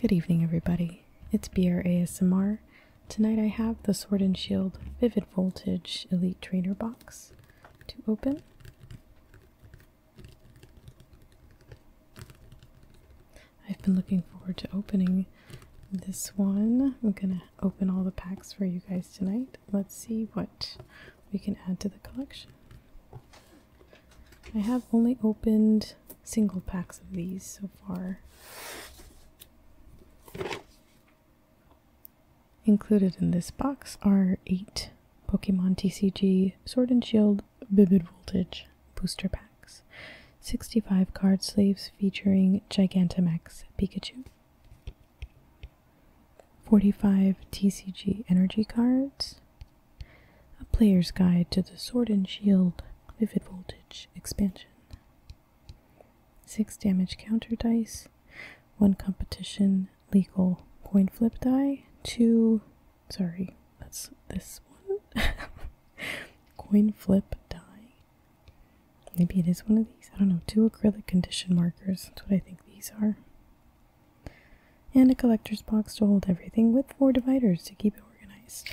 Good evening, everybody. It's BR ASMR. Tonight I have the Sword and Shield Vivid Voltage Elite Trainer box to open. I've been looking forward to opening this one. I'm gonna open all the packs for you guys tonight. Let's see what we can add to the collection. I have only opened single packs of these so far. Included in this box are eight Pokemon TCG Sword and Shield Vivid Voltage booster packs, 65 card sleeves featuring Gigantamax Pikachu, 45 TCG energy cards, a player's guide to the Sword and Shield Vivid Voltage expansion, 6 damage counter dice, 1 competition legal coin flip die, 2, sorry, that's this one, coin flip die. Maybe it is one of these, I don't know, 2 acrylic condition markers, that's what I think these are and a collector's box to hold everything with four dividers to keep it organized.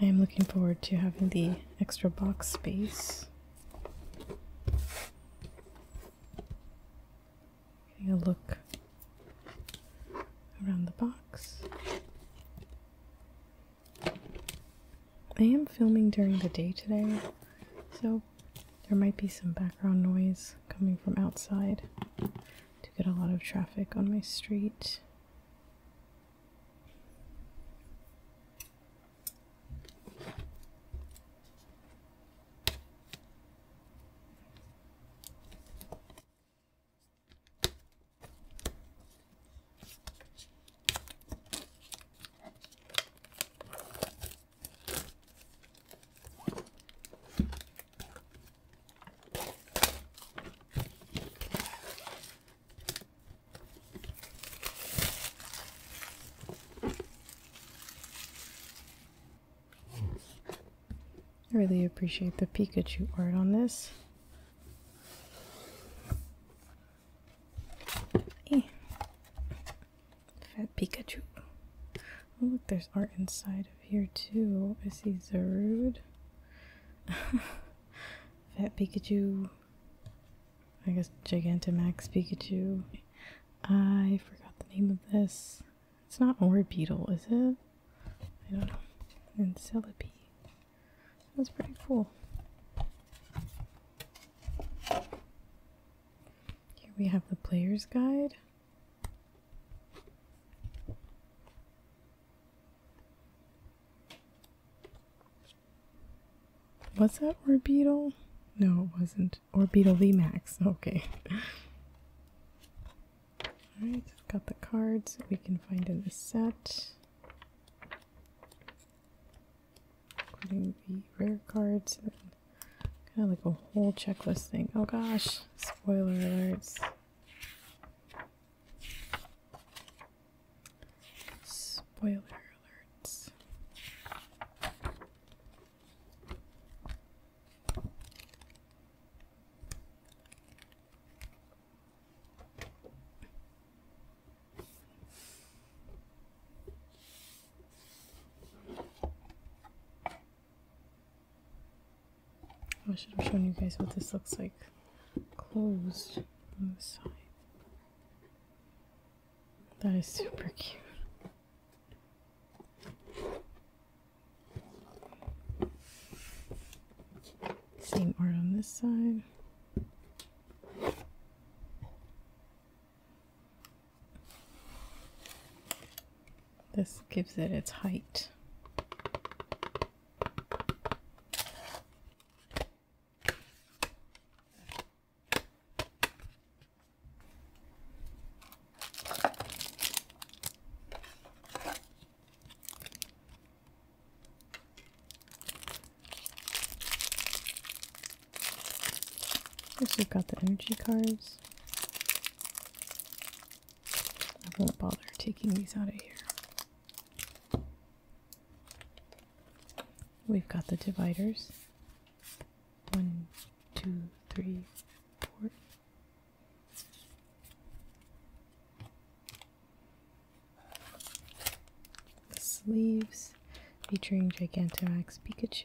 I am looking forward to having the extra box space. Getting a look around the box. I am filming during the day today, so there might be some background noise coming from outside. To get a lot of traffic on my street. I really appreciate the Pikachu art on this. Eh. Fat Pikachu. Oh, look, there's art inside of here too. I see Zerud. Fat Pikachu. I guess Gigantamax Pikachu. I forgot the name of this. It's not Orbeetle, is it? I don't know. And Celebi. That's pretty cool. Here we have the player's guide. Was that Orbeetle? No, it wasn't. V Max. Okay. Alright, so got the cards we can find in the set. Including the rare cards and kind of like a whole checklist thing. Oh gosh, spoiler alerts. Spoiler alerts. I should have shown you guys what this looks like closed on this side. That is super cute. Same art on this side. This gives it its height. Guess we've got the energy cards. I won't bother taking these out of here. We've got the dividers. One, two, three, four. The sleeves featuring Gigantamax Pikachu.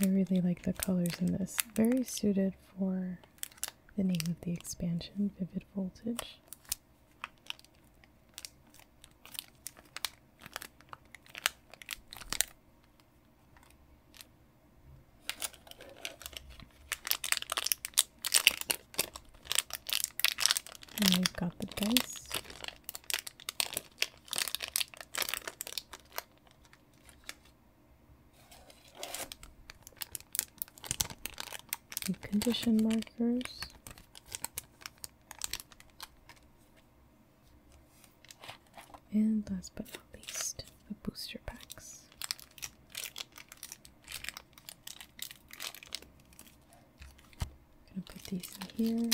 I really like the colors in this. Very suited for the name of the expansion, Vivid Voltage. And we've got the dice. The condition markers. And last but not least, the booster packs. I'm gonna put these in here.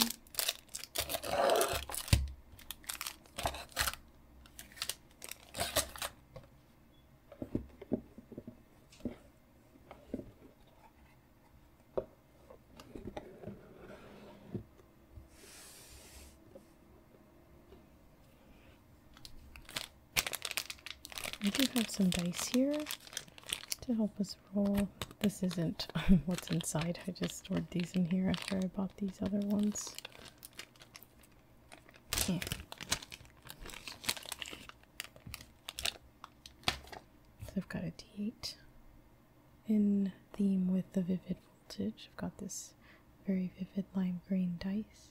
I do have some dice here to help us roll. This isn't what's inside. I just stored these in here after I bought these other ones. I've got a d8 in theme with the vivid voltage. I've got this very vivid lime green dice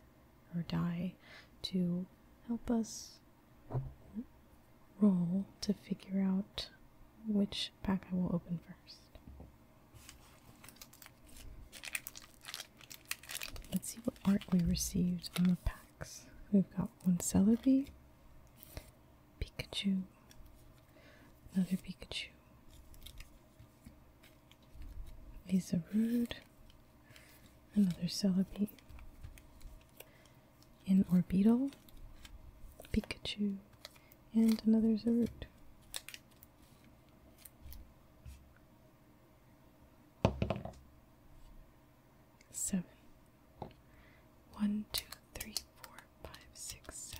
or die to help us roll to figure out which pack I will open first. Let's see what art we received on the packs. We've got one Celebi, Pikachu, another Pikachu, is a rude, another Celebi, an Orbital, Pikachu, and another Zerud. Seven. One, two, three, four, five, six, seven.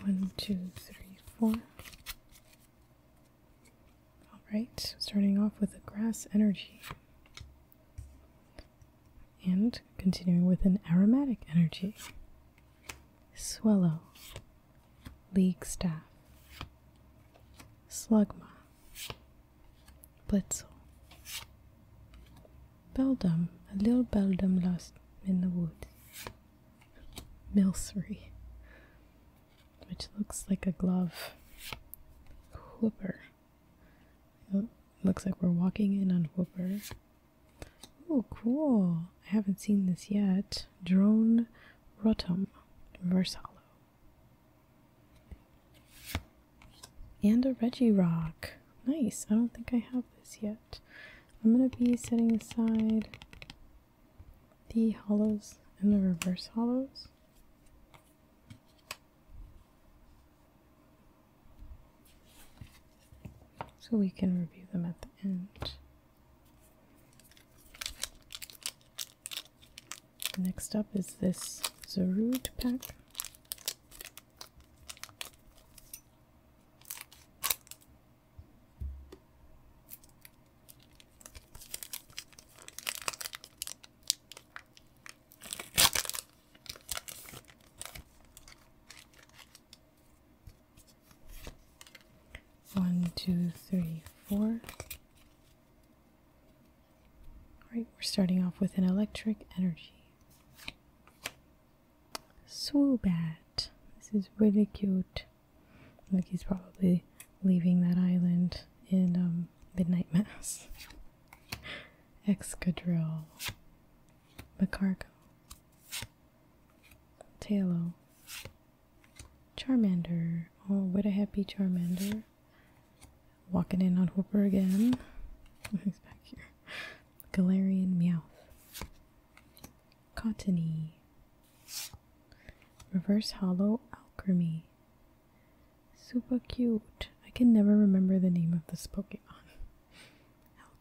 One, two, three, four. All right, starting off with a grass energy. And continuing with an aromatic energy swallow, league staff, slugma, blitzel. Beldum, a little beldum lost in the woods. Milsery, which looks like a glove. Whooper. It looks like we're walking in on Whooper. Oh, cool. I haven't seen this yet. Drone Rotum Versalo. And a Reggie Rock. Nice. I don't think I have this yet. I'm going to be setting aside the hollows and the reverse hollows. So we can review them at the end. Next up is this Zeroot pack. One, two, three, four. All right, we're starting off with an electric energy. Swoobat. This is really cute. Like he's probably leaving that island in um, Midnight Mass. Excadrill. Macargo. Tailo, Charmander. Oh, what a happy Charmander. Walking in on Hooper again. He's back here. Galarian Meowth. Cottony. Reverse Hollow Alchemy. Super cute. I can never remember the name of this Pokemon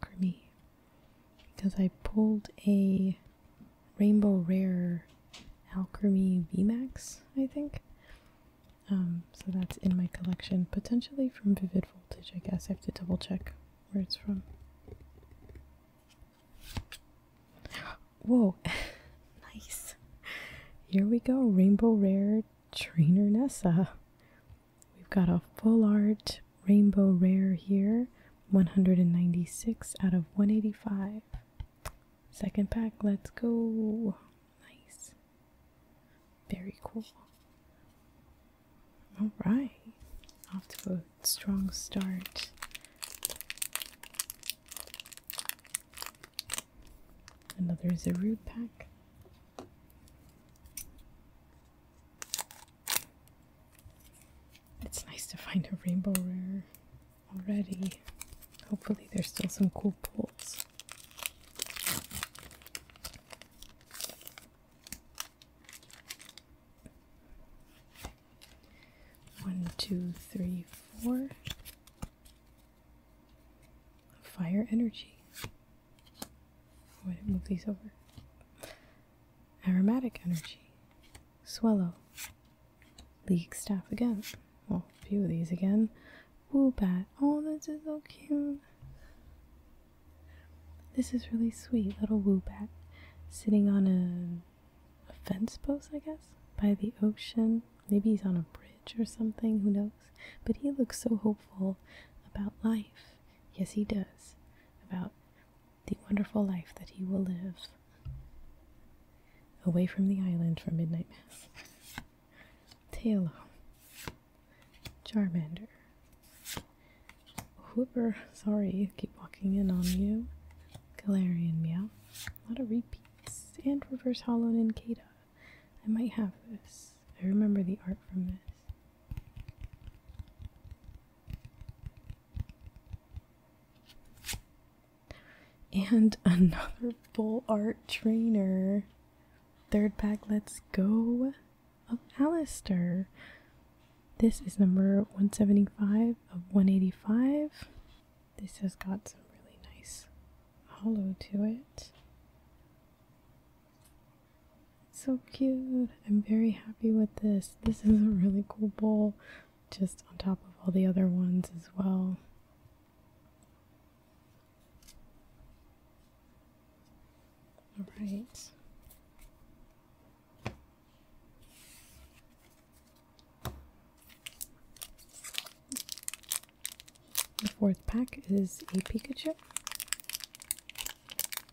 alchemy because I pulled a rainbow rare alchemy VMAX, I think. Um, so that's in my collection, potentially from Vivid Voltage, I guess. I have to double check where it's from. Whoa, nice. Here we go, Rainbow Rare Trainer Nessa. We've got a full art Rainbow Rare here, 196 out of 185. Second pack, let's go. Nice. Very cool. Alright. Off to a strong start. Another Zerud pack. It's nice to find a rainbow rare already. Hopefully, there's still some cool pulls. One, two, three, four. Fire energy. Oh, I didn't move these over. Aromatic energy. Swallow. League staff again. Well, a few of these again. bat. Oh, this is so cute. This is really sweet. Little bat, sitting on a fence post, I guess, by the ocean. Maybe he's on a bridge or something. Who knows? But he looks so hopeful about life. Yes, he does. About the wonderful life that he will live away from the island for midnight mass. Tailo, Charmander, Hooper, sorry, keep walking in on you. Galarian Meow, a lot of repeats, and Reverse Hollow Nincada. I might have this. I remember the art from this. And another full art trainer. Third pack, let's go of Alistair. This is number 175 of 185. This has got some really nice hollow to it. So cute. I'm very happy with this. This is a really cool bowl, just on top of all the other ones as well. All right. The fourth pack is a Pikachu.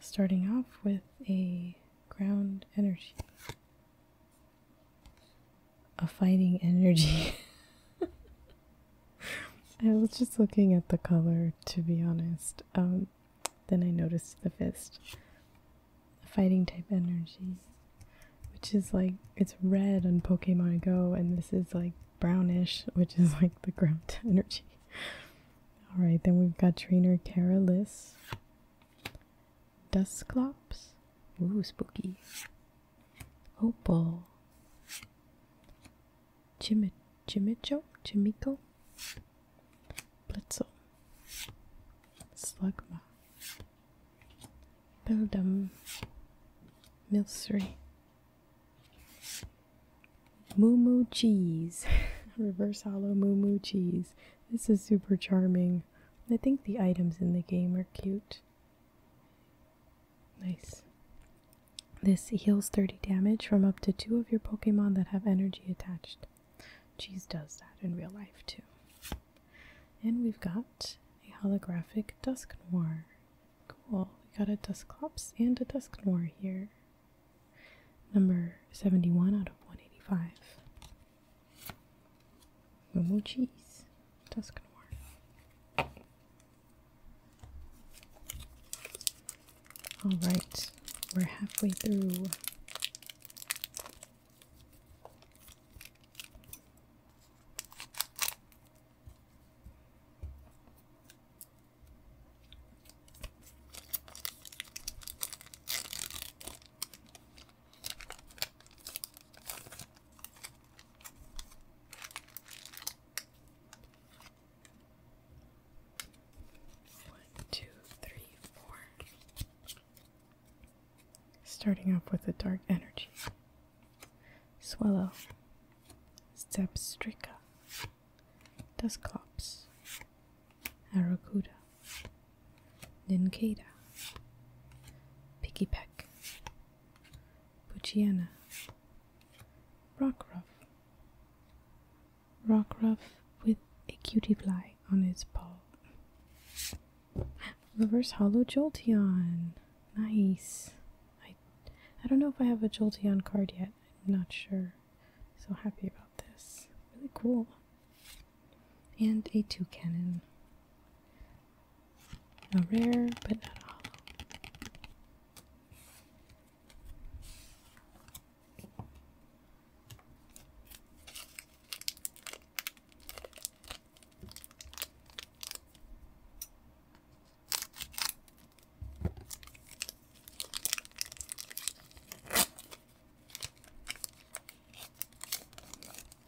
starting off with a ground energy, a fighting energy. I was just looking at the color to be honest. Um, then I noticed the fist, a fighting type energy, which is like it's red on Pokemon Go, and this is like brownish, which is like the ground energy. All right, then we've got trainer Kara Dusclops. Ooh, spooky. Opal. Jimicho, Chimicho? Chimico? Blitzel. Slugma. Beldam. Milsri. Moo Moo Cheese. Reverse hollow Moo Moo Cheese. This is super charming. I think the items in the game are cute. Nice. This heals 30 damage from up to two of your Pokemon that have energy attached. Cheese does that in real life too. And we've got a holographic Dusk Noir. Cool. We got a Dusclops and a Dusk here. Number 71 out of 185. Oh jeez, that's gonna work. All right, we're halfway through. One, two, three, four. Starting off with the dark energy. Swallow. Step Zebstrika. Dusclops, Aracuda, Nincada, Piggypeck, Puchiana, Rockruff. Rockruff with a cutie fly on its paw. Reverse Hollow Jolteon. Nice. I I don't know if I have a Jolteon card yet. I'm not sure. So happy about this. Really cool. And a two cannon. A rare, but not a hollow.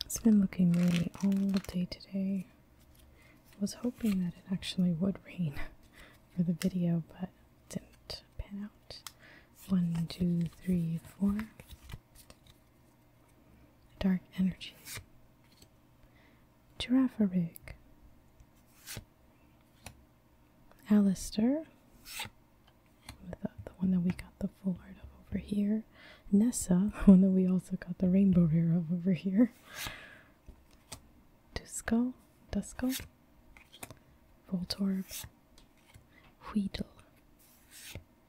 It's been looking rainy all day today. I was hoping that it actually would rain for the video, but it didn't pan out. One, two, three, four. Dark energy. Giraffe rig. Alistair, the, one that we got the full art of over here. Nessa, the one that we also got the rainbow rare of over here. Dusko, Dusko, Voltorb, Weedle.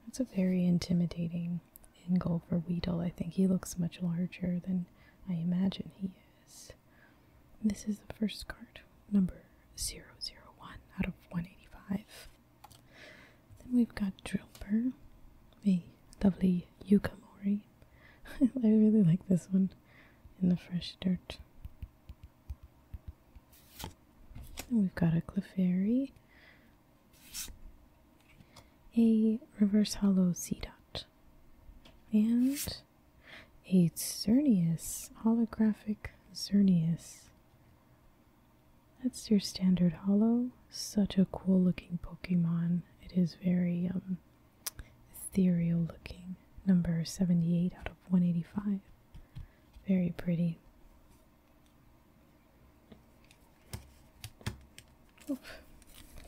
That's a very intimidating angle for Weedle. I think he looks much larger than I imagine he is. This is the first card, number 001 out of 185. Then we've got Drilper, the lovely Yukamori. I really like this one in the fresh dirt. Then we've got a Clefairy, a Reverse Hollow Seedot, and a Xerneas, holographic Xerneas. That's your standard hollow. Such a cool looking Pokemon. It is very um, ethereal looking. Number 78 out of 185. Very pretty.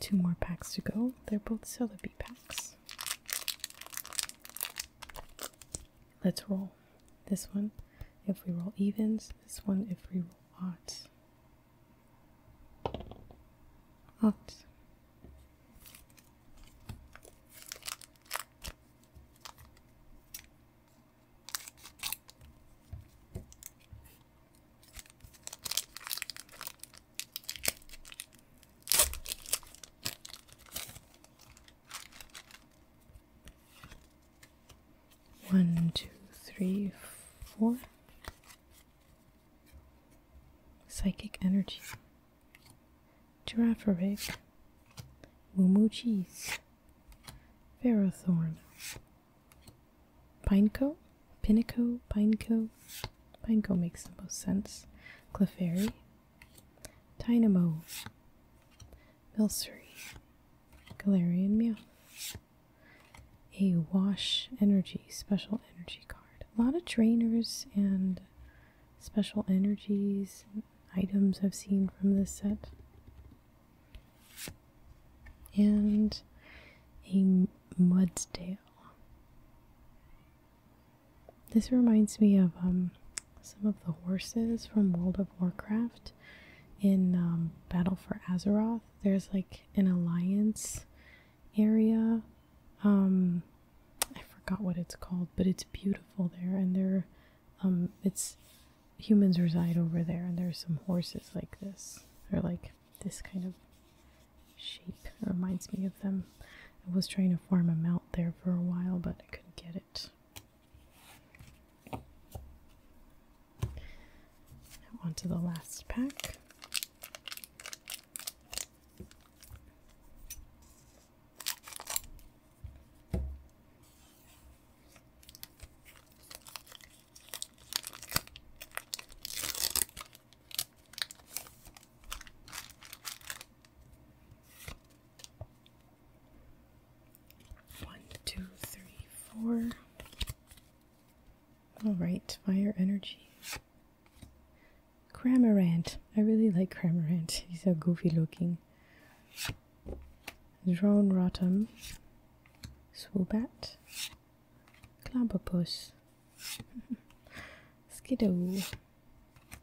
Two more packs to go. They're both Celebi packs. Let's roll this one. If we roll evens, this one if we roll odds. Odds. One, two, three, four. Psychic energy. Giraffe rig. Moo moo cheese. Ferrothorn. Pineco? Pinico? Pineco? Banco makes the most sense. Clefairy. Dynamo. Milcery. Galarian Mew, A Wash Energy Special Energy card. A lot of trainers and special energies items I've seen from this set. And a Mudsdale. This reminds me of um, some of the horses from World of Warcraft in um, Battle for Azeroth. There's like an alliance area. Um, I forgot what it's called, but it's beautiful there, and there, um, it's humans reside over there, and there's some horses like this. They're like this kind of shape. reminds me of them. I was trying to form a mount there for a while, but I couldn't get it. onto the last pack. One, two, three, four. All right, fire energy. Cramorant. I really like Cramorant. He's a goofy looking. Drone Rotom. Swoobat. Clamperpuss. Skidoo.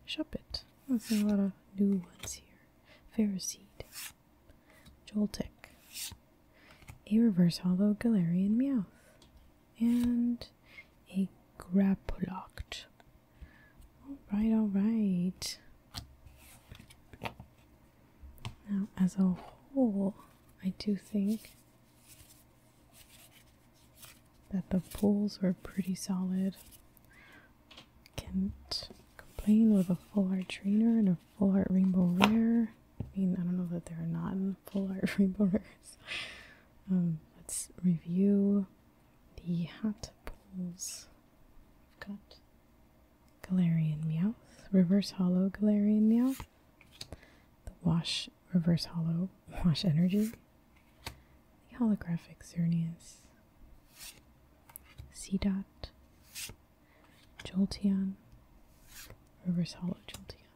Shuppet. There's a lot of new ones here. Pharisee, Joltek. A reverse hollow Galarian Meowth. And a Graplocked. Alright, alright. Now, as a whole, I do think that the pulls were pretty solid. Can't complain with a full art trainer and a full art rainbow rare. I mean, I don't know that there are not full art rainbow rares. Um, let's review the hot pulls. I've got Galarian Meowth, Reverse Hollow Galarian Meowth, the Wash Reverse Hollow Wash Energy, the Holographic C dot. Joltian. Reverse Hollow joltian.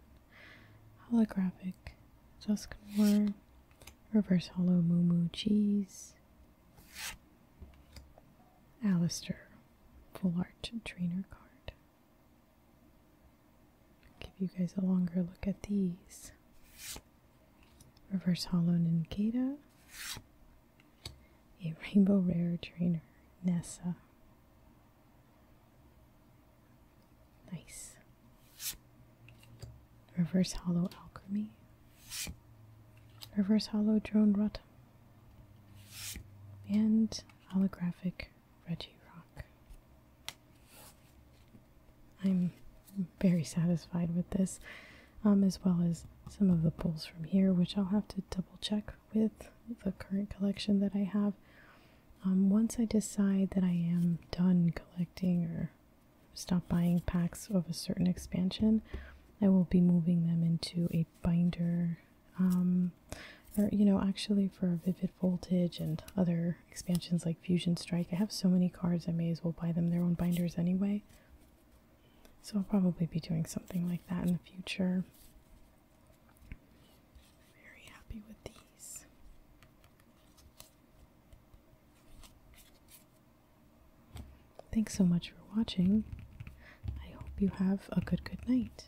Holographic Dusknoir, Reverse Hollow Moo Cheese, Alistair, Full Art Trainer Card. Give you guys a longer look at these. Reverse Hollow Ninkata, a Rainbow Rare Trainer, Nessa. Nice. Reverse Hollow Alchemy, Reverse Hollow Drone Rotom, and Holographic Reggie Rock. I'm very satisfied with this, um, as well as some of the pulls from here, which I'll have to double check with the current collection that I have. Um, once I decide that I am done collecting or stop buying packs of a certain expansion, I will be moving them into a binder um, or, you know, actually for Vivid Voltage and other expansions like Fusion Strike, I have so many cards I may as well buy them their own binders anyway. So I'll probably be doing something like that in the future. Very happy with these. Thanks so much for watching. I hope you have a good good night.